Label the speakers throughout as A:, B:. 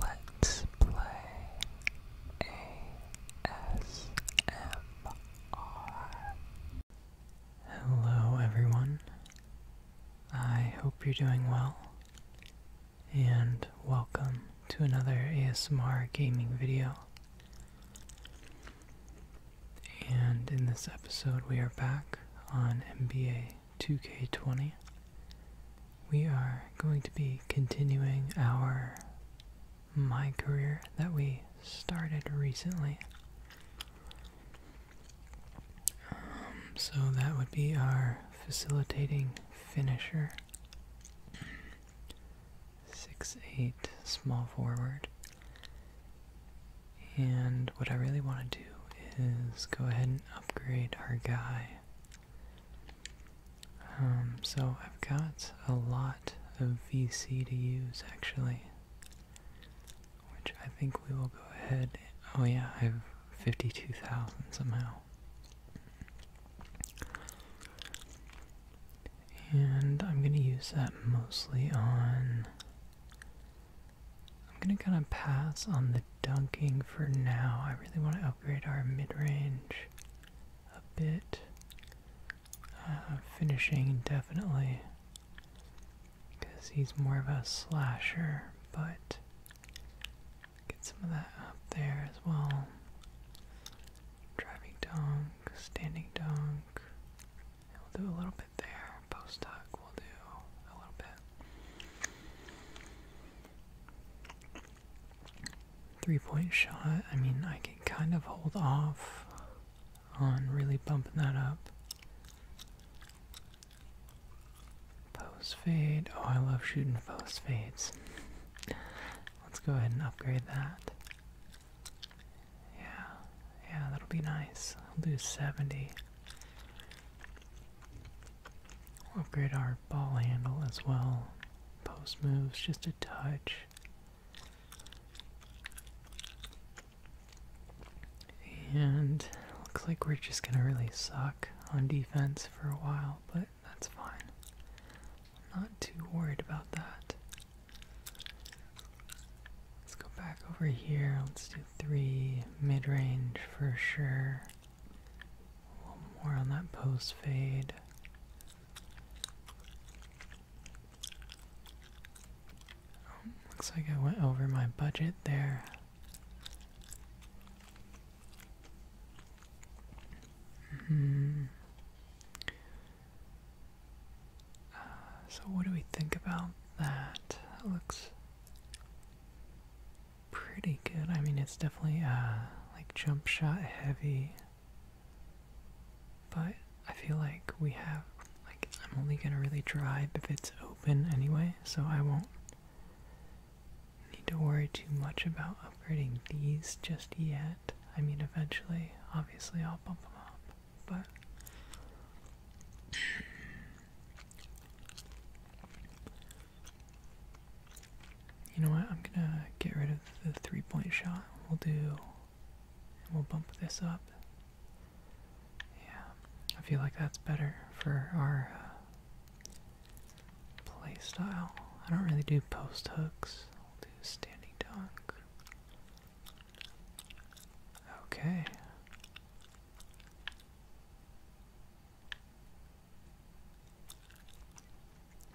A: Let's play ASMR. Hello, everyone. I hope you're doing well, and welcome to another ASMR gaming video. And in this episode, we are back on NBA 2K20, we are going to be continuing our My Career that we started recently. Um, so that would be our facilitating finisher. 6-8 small forward. And what I really want to do is go ahead and upgrade our guy um, so I've got a lot of VC to use actually, which I think we will go ahead. Oh yeah, I have 52,000 somehow. And I'm going to use that mostly on I'm gonna kind of pass on the dunking for now. I really want to upgrade our mid-range a bit. Uh, finishing definitely, because he's more of a slasher, but get some of that up there as well. Driving dunk, standing dunk. we'll do a little bit there. Post tuck, we'll do a little bit. Three point shot, I mean, I can kind of hold off on really bumping that up. Post fade, oh, I love shooting post fades. Let's go ahead and upgrade that. Yeah, yeah, that'll be nice. I'll do 70 upgrade our ball handle as well. Post moves just a touch. And looks like we're just gonna really suck on defense for a while, but that's fine. not too worried about that. Let's go back over here. Let's do three mid range for sure. A little more on that post fade. Oh, looks like I went over my budget there. -hmm. Uh, so, what do we think about that? That looks pretty good. I mean, it's definitely uh, like jump shot heavy, but I feel like we have like I'm only gonna really drive if it's open anyway, so I won't need to worry too much about upgrading these just yet. I mean, eventually, obviously, I'll bump them up, but. You know what? I'm gonna get rid of the three point shot. We'll do. We'll bump this up. Yeah, I feel like that's better for our uh, play style. I don't really do post hooks. i will do standing dunk. Okay.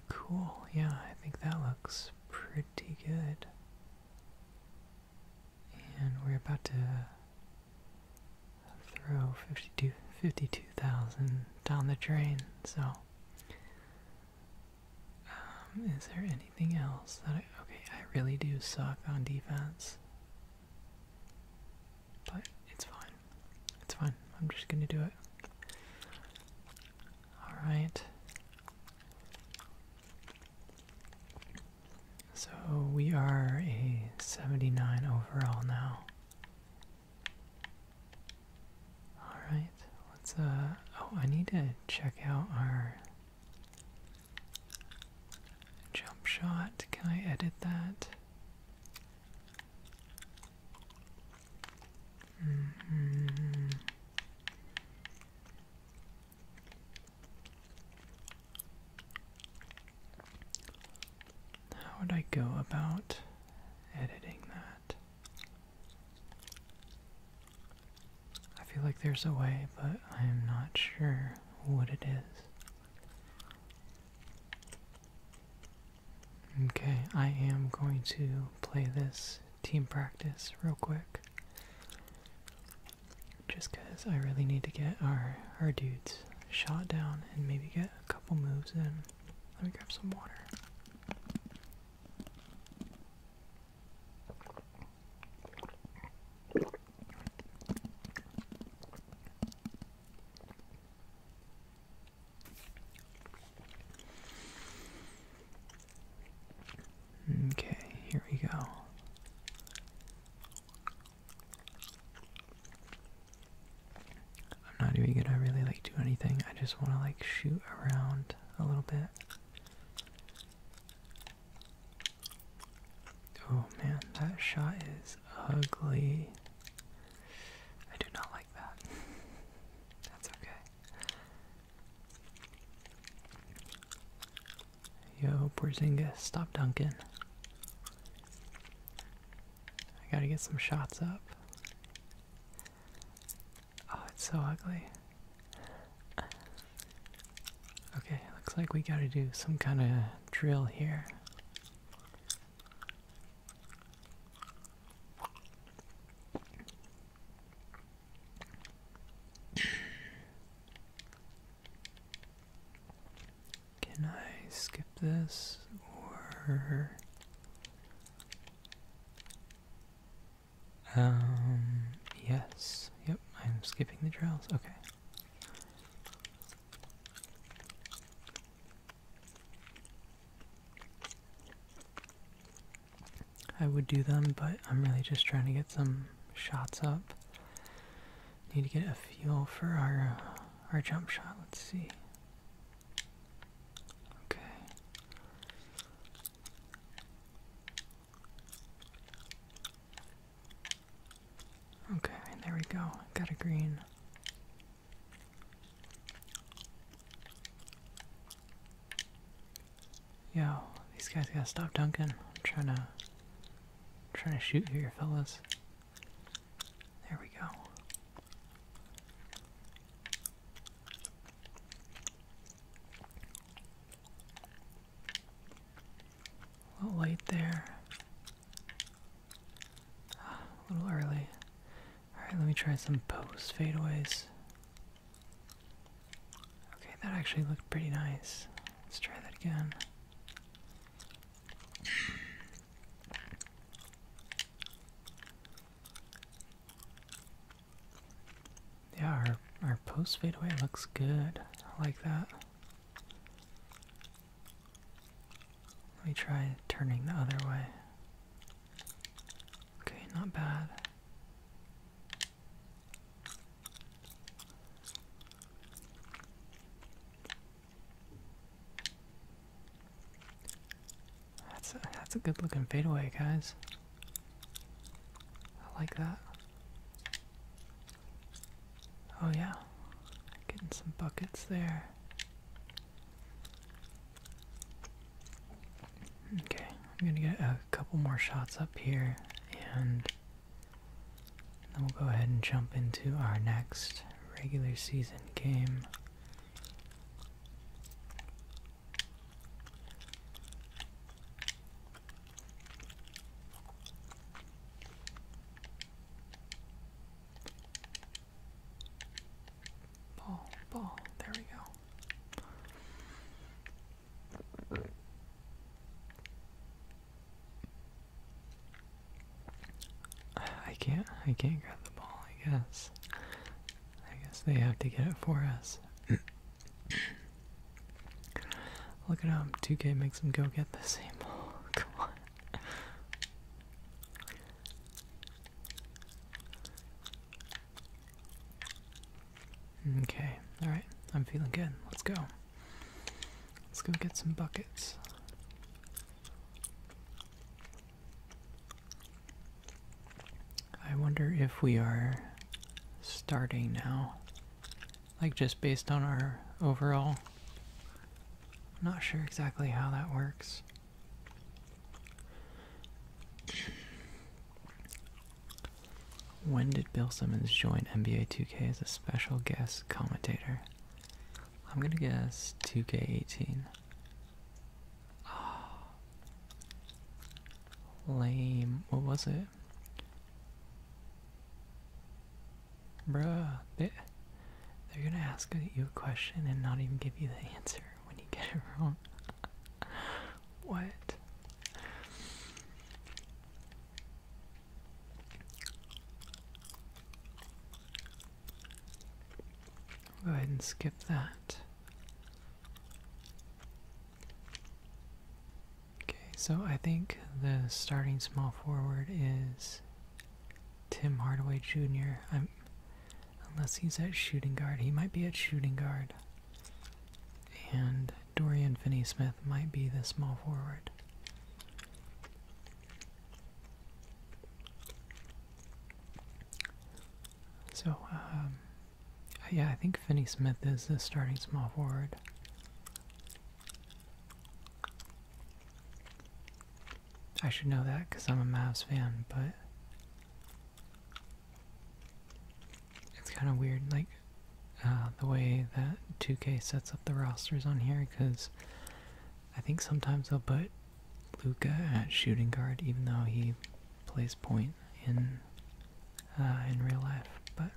A: Cool, yeah, I think that looks pretty good. And we're about to throw 52 52,000 down the drain, so. Um, is there anything else that I. Okay, I really do suck on defense. But it's fine. It's fine. I'm just gonna do it. Alright. So we are a 79 overall now. Alright, let's uh oh I need to check out our Jump shot. Can I edit that? Mm-hmm. How would I go about editing that? I feel like there's a way, but I am not sure what it is. Okay, I am going to play this team practice real quick. Just because I really need to get our, our dudes shot down and maybe get a couple moves in. Let me grab some water. Okay, here we go. I'm not even gonna really like do anything. I just wanna like shoot around a little bit. Oh man, that shot is ugly. I do not like that. That's okay. Yo, Porzingis, stop dunking. I gotta get some shots up. Oh, it's so ugly. Okay, looks like we gotta do some kind of drill here. Can I skip this or um yes, yep, I'm skipping the trails. Okay. I would do them, but I'm really just trying to get some shots up. Need to get a feel for our uh, our jump shot. Let's see. Okay. Okay, there we go. Got a green. Yo, these guys gotta stop dunking. I'm trying to i trying to shoot here, fellas. There we go. A little light there. A little early. Alright, let me try some post fadeaways. Okay, that actually looked pretty nice. Let's try that again. Yeah, our, our post fadeaway looks good. I like that. Let me try turning the other way. Okay, not bad. That's a, that's a good looking fadeaway, guys. I like that. Oh, yeah, getting some buckets there. Okay, I'm gonna get a couple more shots up here and then we'll go ahead and jump into our next regular season game. Ball, ball, there we go. I can't I can't grab the ball, I guess. I guess they have to get it for us. Look at how 2K makes him go get the same ball. Come on. Okay, alright. I'm feeling good. Let's go. Let's go get some buckets. I wonder if we are starting now like just based on our overall. not sure exactly how that works. When did Bill Simmons join NBA 2K as a special guest commentator? I'm gonna guess 2K18. Ah, lame. What was it? Bruh, they, they're gonna ask you a question and not even give you the answer when you get it wrong. what? Go ahead and skip that. Okay, so I think the starting small forward is Tim Hardaway Jr. I'm, unless he's at shooting guard, he might be at shooting guard. And Dorian Finney Smith might be the small forward. So, um, yeah, I think Finney Smith is the starting small forward. I should know that because I'm a Mavs fan, but it's kind of weird, like uh, the way that 2K sets up the rosters on here, because I think sometimes they'll put Luca at shooting guard, even though he plays point in uh, in real life. But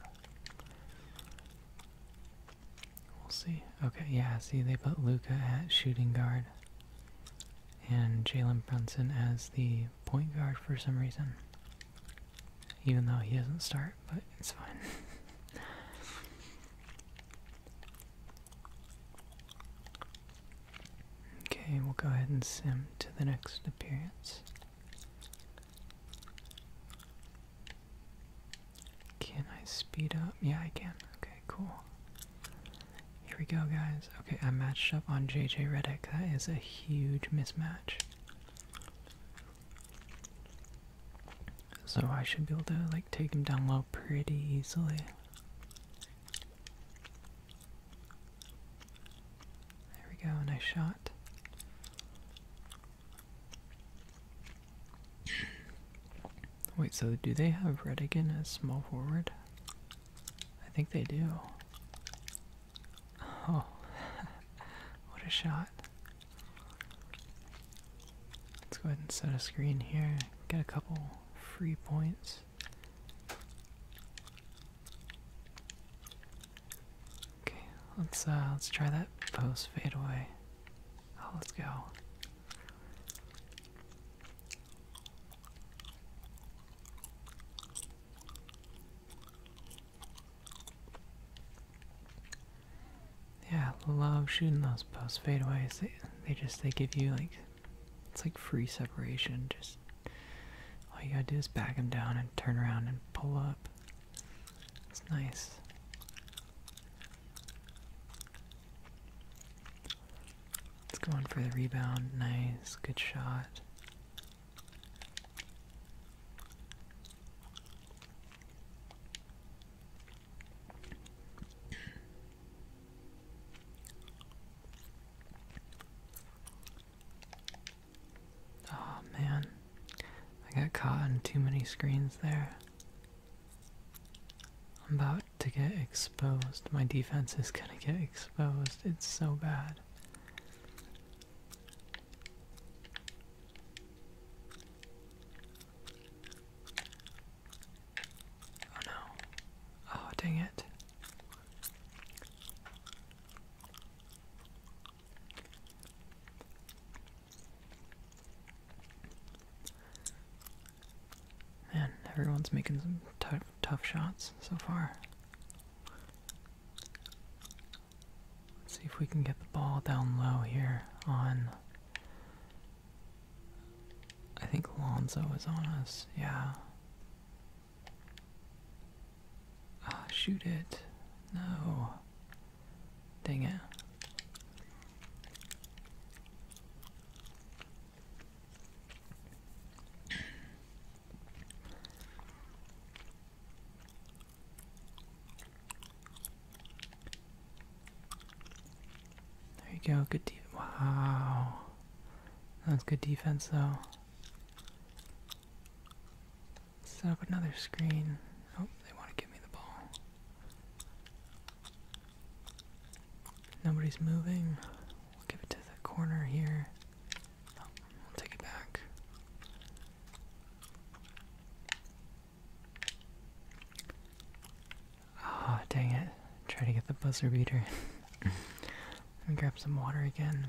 A: We'll see. Okay, yeah, see, they put Luca at shooting guard and Jalen Brunson as the point guard for some reason. Even though he doesn't start, but it's fine. okay, we'll go ahead and sim to the next appearance. Can I speed up? Yeah, I can. Okay, cool. Here we go, guys. Okay, I matched up on JJ Reddick. That is a huge mismatch. So I should be able to like take him down low pretty easily. There we go, nice shot. Wait, so do they have Redigan as small forward? I think they do. Oh, what a shot. Let's go ahead and set a screen here. Get a couple free points. Okay, let's uh let's try that post fade away. Oh, let's go. Yeah, love shooting those post fadeaways. They they just they give you like it's like free separation. Just all you gotta do is back them down and turn around and pull up. It's nice. It's going for the rebound. Nice. Good shot. Oh man, I got caught on too many screens there. I'm about to get exposed. My defense is gonna get exposed. It's so bad. Oh no. Oh, dang it. Man, everyone's making some tough, shots so far. Let's see if we can get the ball down low here on. I think Alonzo is on us, yeah. Ah, shoot it. No. Dang it. There you go, good defense. Wow. That good defense though set up another screen. Oh, they want to give me the ball. Nobody's moving. We'll give it to the corner here. Oh, we'll take it back. Oh, dang it. Try to get the buzzer beater. Let me grab some water again.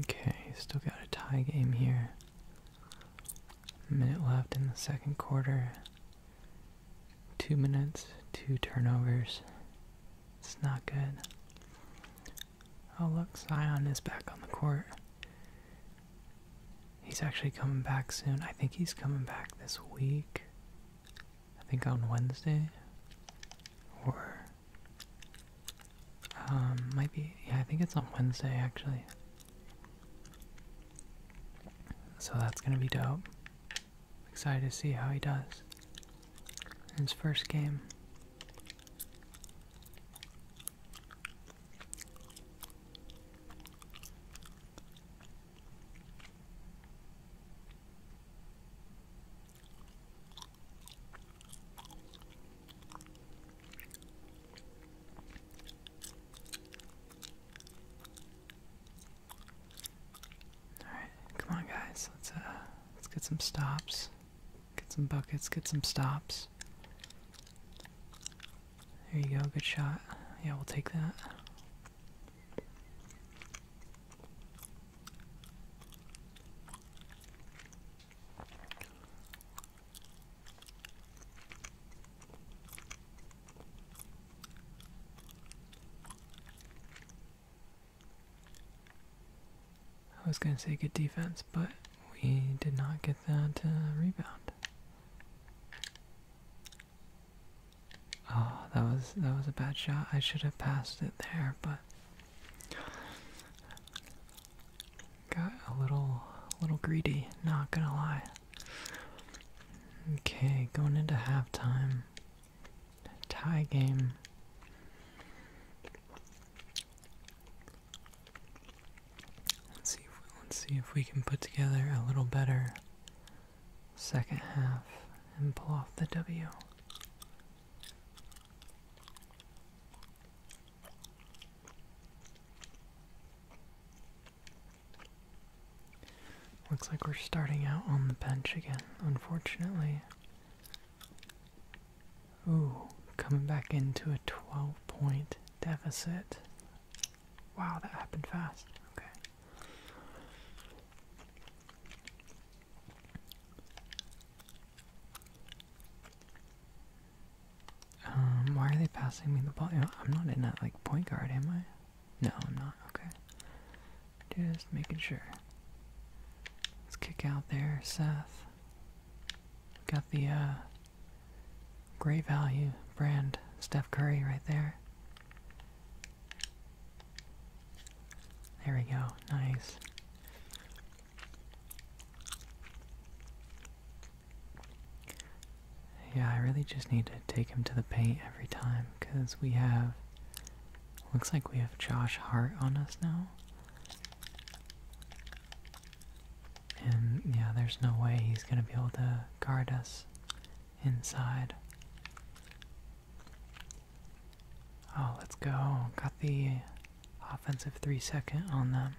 A: Okay, still got a tie game here. A minute left in the second quarter. Two minutes, two turnovers. It's not good. Oh look, Zion is back on the court. He's actually coming back soon. I think he's coming back this week. I think on Wednesday or um, might be, yeah, I think it's on Wednesday actually. So that's gonna be dope. Excited to see how he does in his first game. Alright, come on guys, let's uh let's get some stops. Get some buckets, get some stops. There you go, good shot. Yeah, we'll take that. I was going to say good defense, but we did not get that uh, rebound. Oh, that was that was a bad shot. I should have passed it there, but Got a little, little greedy. Not gonna lie. Okay, going into halftime. Tie game. Let's see. If, let's see if we can put together a little better second half and pull off the W. Looks like we're starting out on the bench again, unfortunately. Ooh, coming back into a 12 point deficit. Wow, that happened fast. Okay. Um, why are they passing me the ball? I'm not in that, like, point guard, am I? No, I'm not. Okay. Just making sure. Let's kick out there, Seth. Got the, uh, great value brand Steph Curry right there. There we go. Nice. Yeah, I really just need to take him to the paint every time because we have. Looks like we have Josh Hart on us now. And yeah, there's no way he's going to be able to guard us inside. Oh, let's go. Got the offensive three second on them.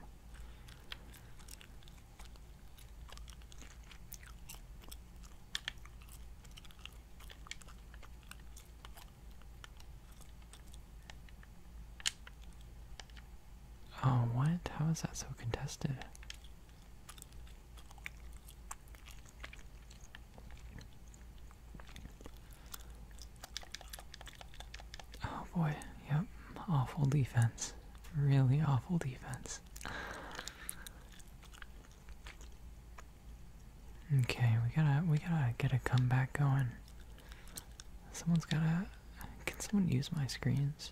A: Oh, what? How is that so contested? Oh boy, yep, awful defense. Really awful defense. Okay, we gotta we gotta get a comeback going. Someone's gotta can someone use my screens?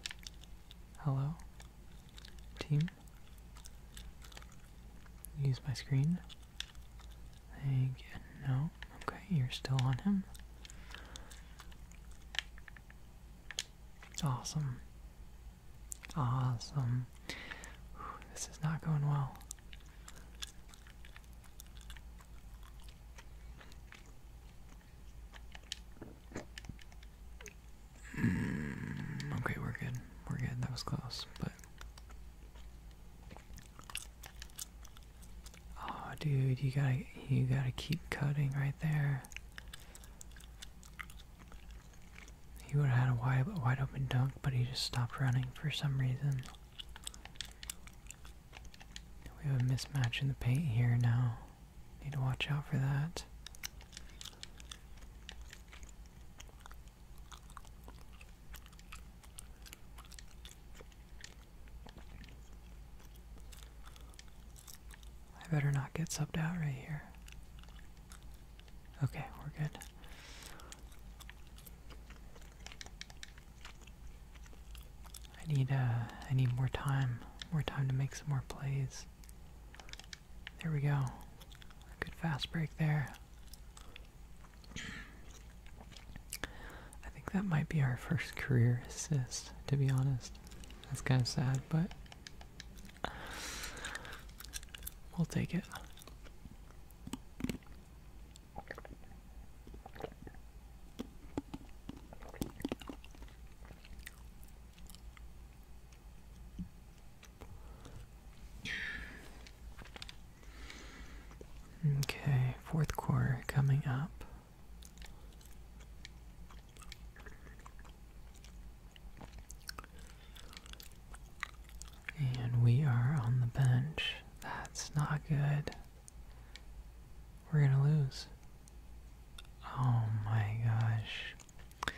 A: Hello? Team? Use my screen? Thank No. Okay, you're still on him. Awesome. Awesome. this is not going well. Mm, okay, we're good. We're good. That was close, but Oh, dude, you gotta you gotta keep cutting right there. He would have had a wide, wide open dunk, but he just stopped running for some reason. We have a mismatch in the paint here now. Need to watch out for that. I better not get subbed out right here. Okay, we're good. I need uh I need more time. More time to make some more plays. There we go. good fast break there. I think that might be our first career assist, to be honest. That's kind of sad, but we'll take it. Okay, fourth quarter coming up. And we are on the bench. That's not good. We're gonna lose. Oh my gosh.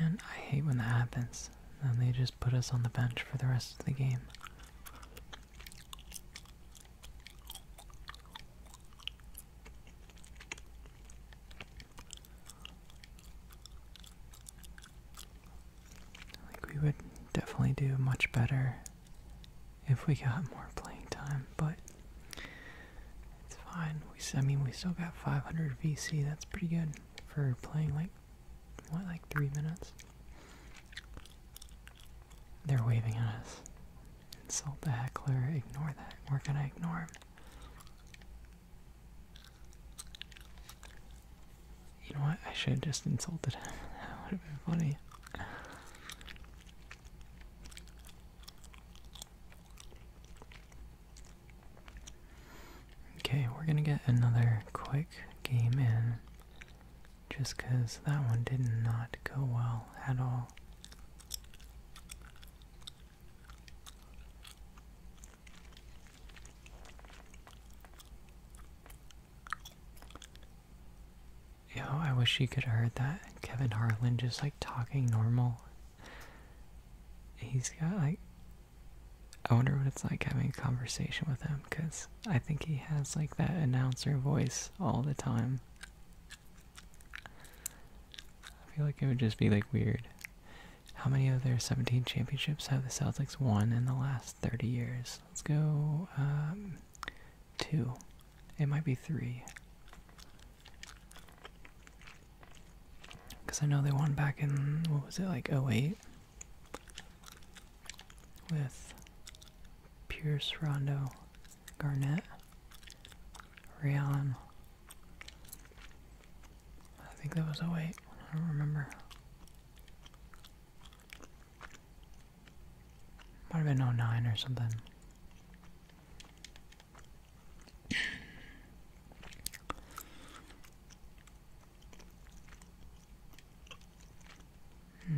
A: Man, I hate when that happens. And they just put us on the bench for the rest of the game. Like we would definitely do much better if we got more playing time, but it's fine. We I mean we still got 500 VC. That's pretty good for playing like what, like three minutes? They're waving at us. Insult the heckler, ignore that. We're gonna ignore him? You know what? I should have just insulted him. That would have been funny. Okay, we're gonna get another quick game in just because that one did not go well at all. Yo, I wish you could have heard that. Kevin Harlan just like talking normal. He's got like I wonder what it's like having a conversation with him because I think he has like that announcer voice all the time. I feel like it would just be like weird. How many of their 17 championships have the Celtics won in the last 30 years? Let's go um, two. It might be three. Because I know they won back in, what was it, like 08? with Pierce, Rondo, Garnett, Rayon. I think that was 08. I don't remember. Might have been 09 or something.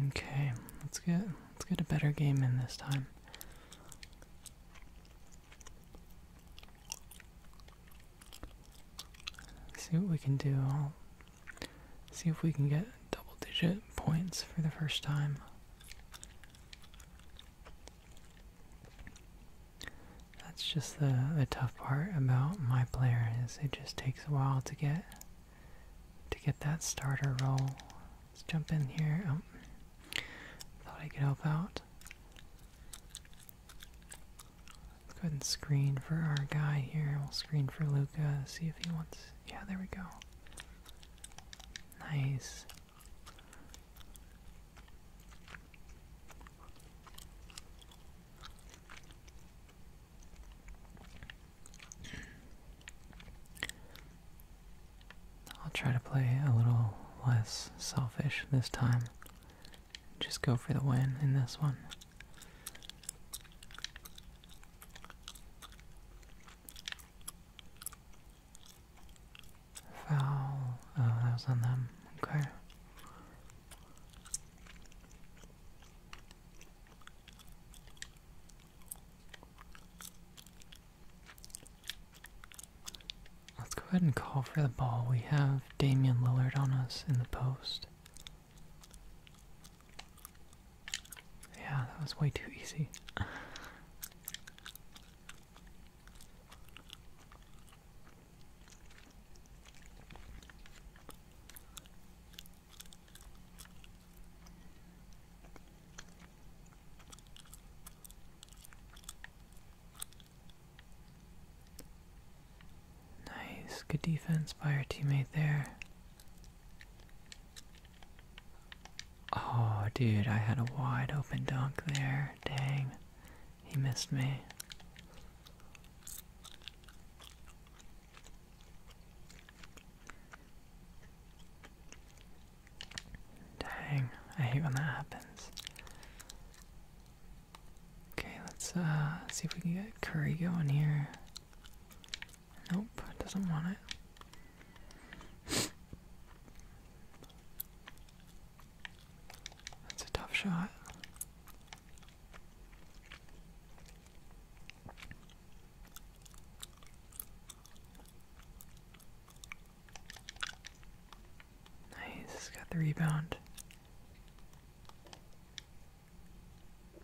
A: Okay, let's get let's get a better game in this time. see what we can do. see if we can get double digit points for the first time. That's just the, tough part about my player is it just takes a while to get to get that starter roll. Let's jump in here. Oh, thought I could help out. Let's go ahead and screen for our guy here. We'll screen for Luca, see if he wants. Yeah, there we go. Nice. I'll try to play a little less selfish this time. Just go for the win in this one. Foul. Oh, that was on them. Okay. Let's go ahead and call for the ball. We have Damian Lillard on us in the post. Yeah, that was way too easy. Nice, good defense by your teammate there. Oh, dude, I had a wide open dunk there. Dang. He missed me. Dang, I hate when that happens. Okay, let's uh, see if we can get curry going here. Nope, doesn't want it. That's a tough shot. Nice, got the rebound.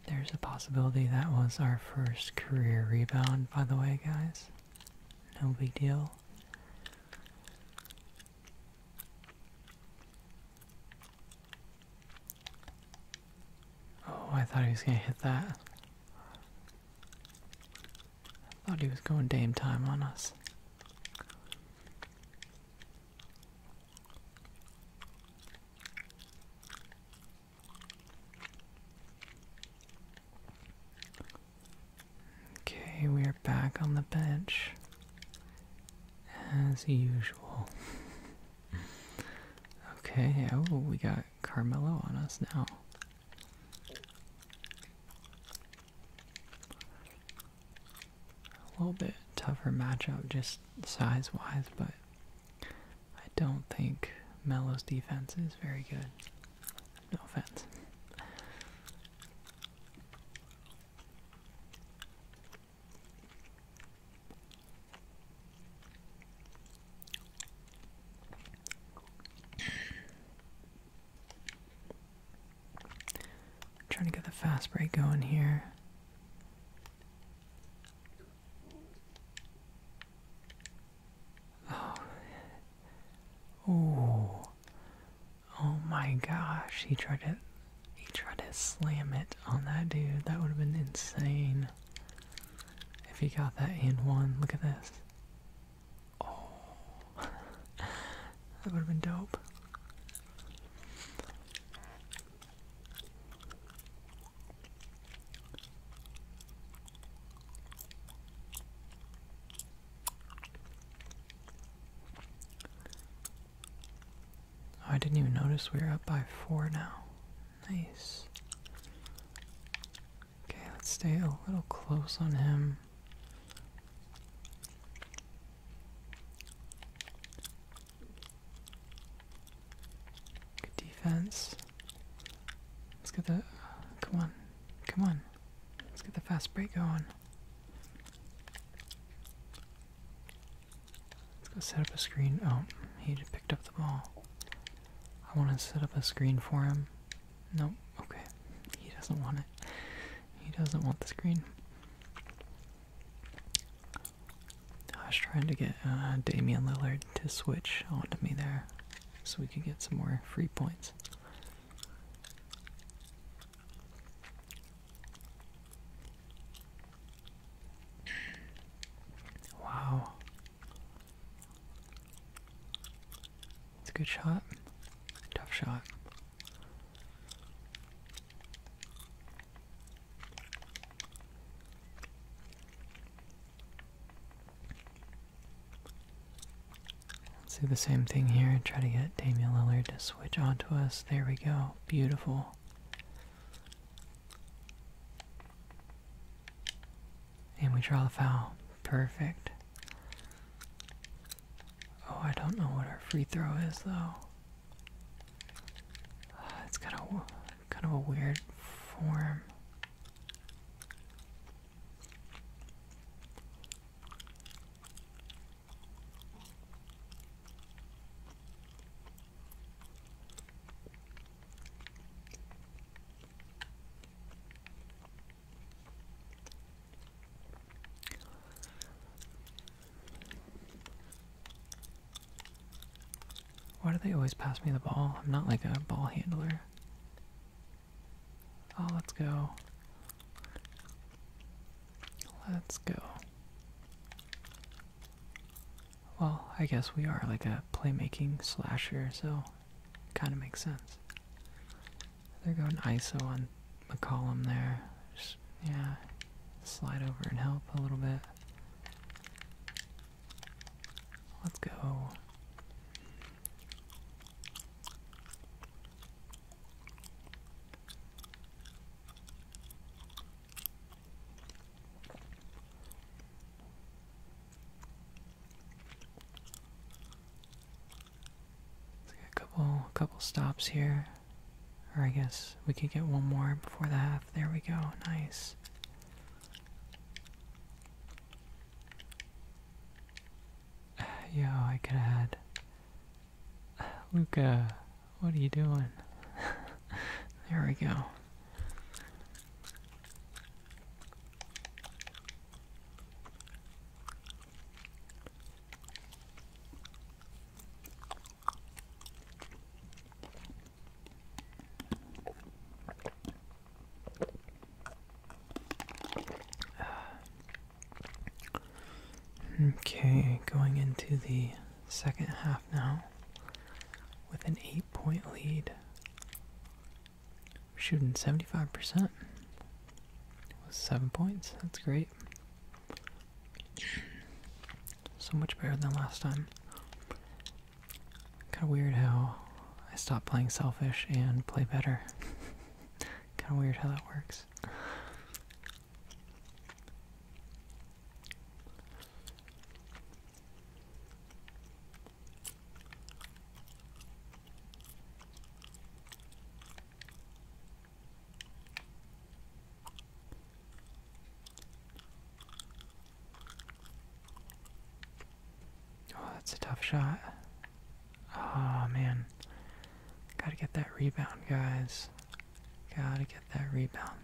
A: There's a possibility that was our first career rebound, by the way, guys. No big deal. Oh, I thought he was gonna hit that. I thought he was going dame time on us. Okay, we are back on the bench as usual. Okay, oh, we got Carmelo on us now. A little bit tougher matchup just size wise, but I don't think Melo's defense is very good. No offense. Trying to get the fast break going here. Oh. Oh. Oh my gosh, he tried to he tried to slam it on that dude. That would have been insane. If he got that in one, look at this. Oh that would have been dope. Oh, I didn't even notice we were up by four now. Nice. Okay, let's stay a little close on him. Good defense. Let's get the. Come on. Come on. Let's get the fast break going. Let's go set up a screen. Oh, he picked up the ball. I want to set up a screen for him. No, okay. He doesn't want it. He doesn't want the screen. I was trying to get uh, Damian Lillard to switch onto me there so we can get some more free points. Wow. It's a good shot. Tough shot. Let's do the same thing here. Try to get Damian Lillard to switch onto us. There we go. Beautiful. And we draw the foul. Perfect. Oh, I don't know what our free throw is though. Uh, it's kind of a weird form. Why do they always pass me the ball? I'm not like a ball handler. Oh, let's go. Let's go. Well, I guess we are like a playmaking slasher, so it kind of makes sense. They're going ISO on McCollum there. Just, yeah, slide over and help a little bit. Let's go a couple, a couple stops here. Or I guess we could get one more before the half. There we go. Nice. Yo, I could have had Luca, what are you doing? there we go. Okay, going into the second half now with an eight point lead. Shooting 75% with seven points. That's great. So much better than last time. Kind of weird how I stop playing selfish and play better. kind of weird how that works. Oh, that's a tough shot. Oh man. Gotta get that rebound, guys. Gotta get that rebound.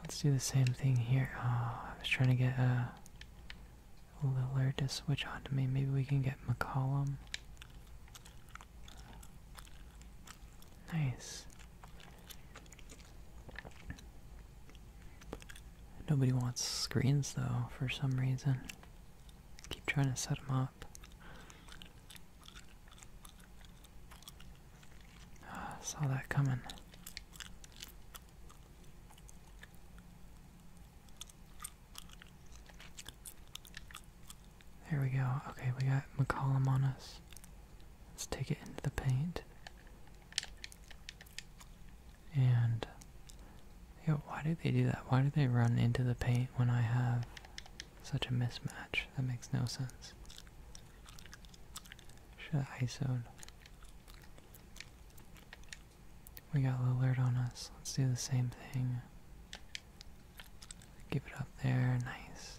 A: Let's do the same thing here. Oh, I was trying to get a uh, Lillard to switch on to me. Maybe we can get McCollum. Nice. Nobody wants screens though for some reason. Keep trying to set him up. Ah, saw that coming. There we go. Okay, we got McCollum on us. Let's take it into the paint. And Yo, why do they do that? Why do they run into the paint when I have such a mismatch? That makes no sense. Should have iso We got Lillard on us. Let's do the same thing. Give it up there. Nice.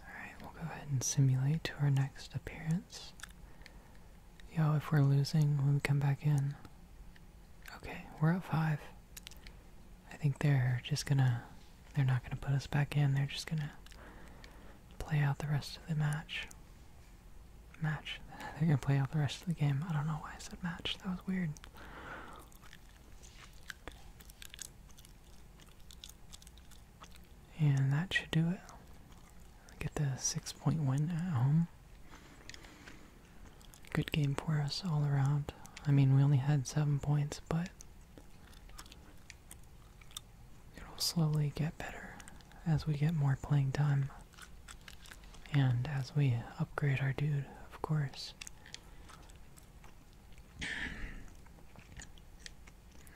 A: Alright, we'll go ahead and simulate to our next appearance. Yo, if we're losing, we come back in. Okay, we're at five. I think they're just gonna, they're not gonna put us back in, they're just gonna play out the rest of the match. Match. They're gonna play out the rest of the game. I don't know why I said match, that was weird. And that should do it. Get the six point at home. Good game for us all around. I mean, we only had seven points, but it'll slowly get better as we get more playing time. And as we upgrade our dude, of course.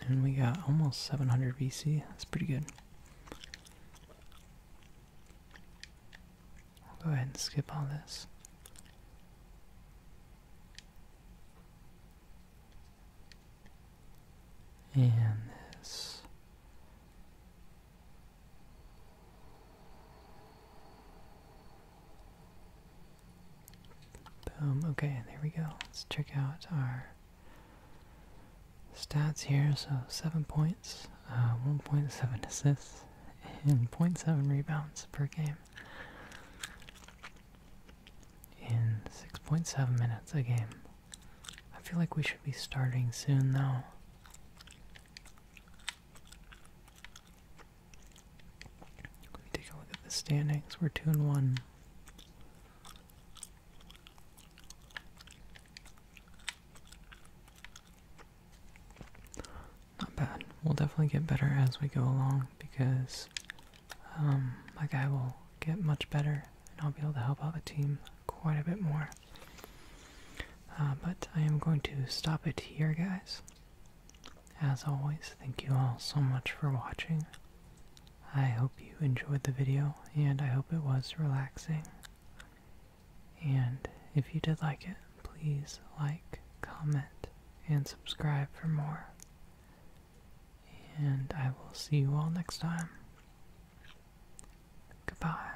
A: And we got almost 700 VC. That's pretty good. I'll go ahead and skip all this. And this. Boom. Okay, there we go. Let's check out our stats here. So seven points, uh, 1.7 assists, and 0.7 rebounds per game in 6.7 minutes a game. I feel like we should be starting soon though. If we take a look at the standings, we're 2 and 1. Not bad. We'll definitely get better as we go along because um, my guy will get much better and I'll be able to help out the team quite a bit more. Uh, but I am going to stop it here, guys. As always, thank you all so much for watching. I hope you enjoyed the video, and I hope it was relaxing. And if you did like it, please like, comment, and subscribe for more. And I will see you all next time. Goodbye.